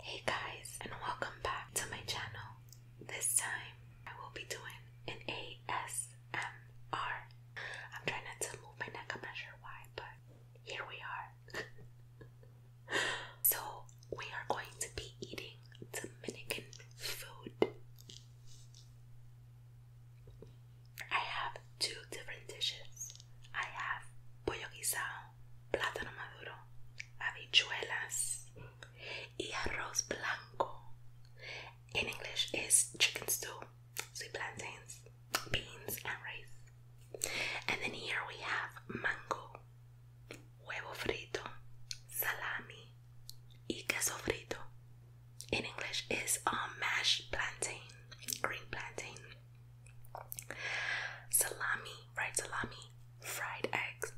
Hey guys, and welcome back to my channel. This time I will be doing an ASMR. I'm trying not to move my neck, I'm not sure why, but here we are. so, we are going to be eating Dominican food. I have two different dishes. I have pollo guisado plátano maduro, habichuelas y arroz blanco. In English it's chicken stew, sweet plantains, beans and rice. And then here we have mango, huevo frito, salami y queso frito. In English uh, it's a mashed plantain, green plantain. Salami, fried salami, fried eggs,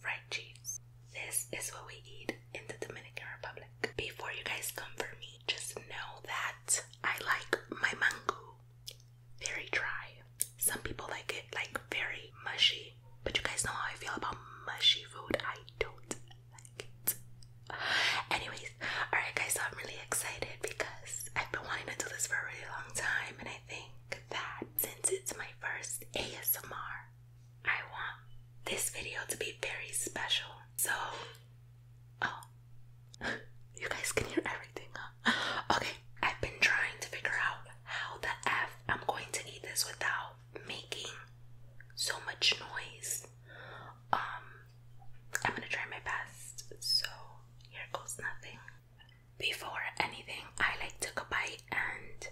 fried cheese. This is what we eat in the Dominican Republic. Before you guys come for me, just know that I like my mango very dry. Some people like it like very mushy, but you guys know how I feel about mushy food. I don't like it. Anyways, alright guys, so I'm really excited because I've been wanting to do this for a really long time, and I think that since it's my first ASMR, I want this video to be very special. So, oh, you guys can hear everything, Okay, I've been trying to figure out how the F I'm going to eat this without making so much noise. Um, I'm gonna try my best. So here goes nothing. Before anything, I like took a bite and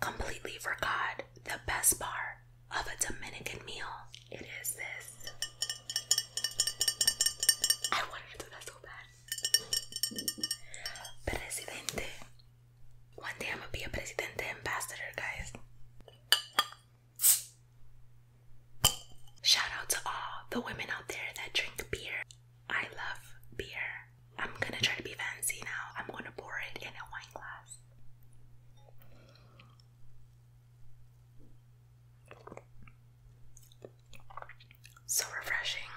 completely forgot the best part of a Dominican meal. It is this. I wanted to do that so bad. Presidente. One day I'm gonna be a presidente ambassador, guys. Shout out to all the women out there that drink beer. I love beer. I'm gonna try to be fancy now. I'm gonna pour it in a wine glass. So refreshing.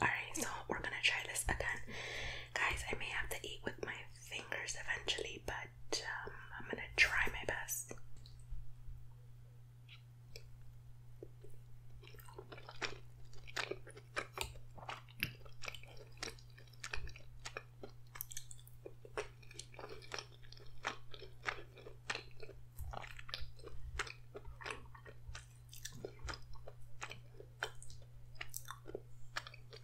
Alright, so we're gonna try this again. Guys, I may have to eat with my fingers eventually, but um, I'm gonna try my best.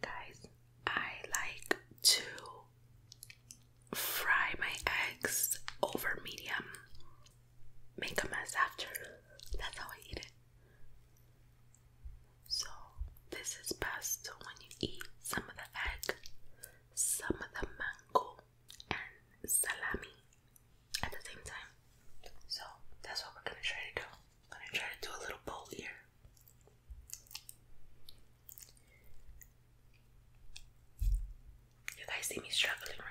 Guys, I like to fry my eggs over medium. Make a mess after. That's how I eat it. So, this is best when you eat some of the egg, some of the mango, and salami at the same time. So that's what we're gonna try to do. I'm try to do a little bowl here. You guys see me struggling, right?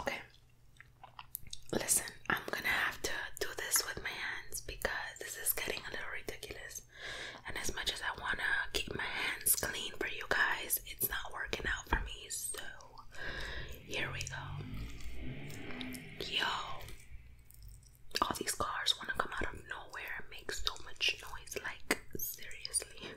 okay. Listen, I'm gonna have to do this with my hands because this is getting a little ridiculous. And as much as I wanna keep my hands clean for you guys, it's not working out for me. So here we go. Yo, all these cars wanna come out of nowhere and make so much noise. Like seriously.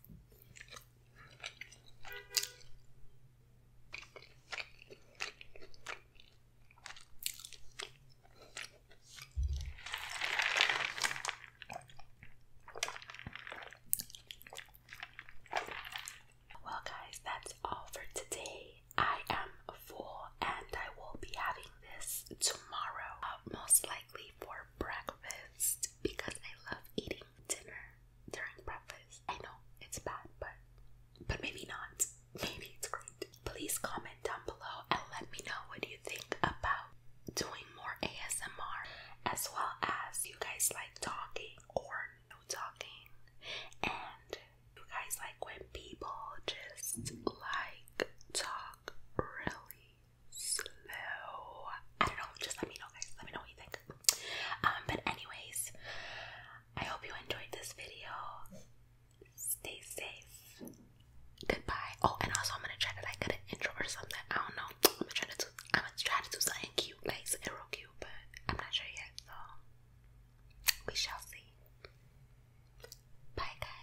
Well, guys, that's all for today. I am full and I will be having this tomorrow, uh, most likely for breakfast because I love eating dinner during breakfast. I know it's bad, but but maybe not. Maybe it's great. Please comment down below and let me know what you think about doing more ASMR as well as you guys like talking or no talking and you guys like when people just like talk really slow. I don't know, just let me know guys. Let me know what you think. Um, but anyways, I hope you enjoyed this video. Stay safe. Goodbye. Oh, and also I'm gonna try to like get an intro or something. I don't know. I'm gonna try to do I'm gonna try to do something cute, like so real cute, but I'm not sure yet, so we shall see. Bye guys.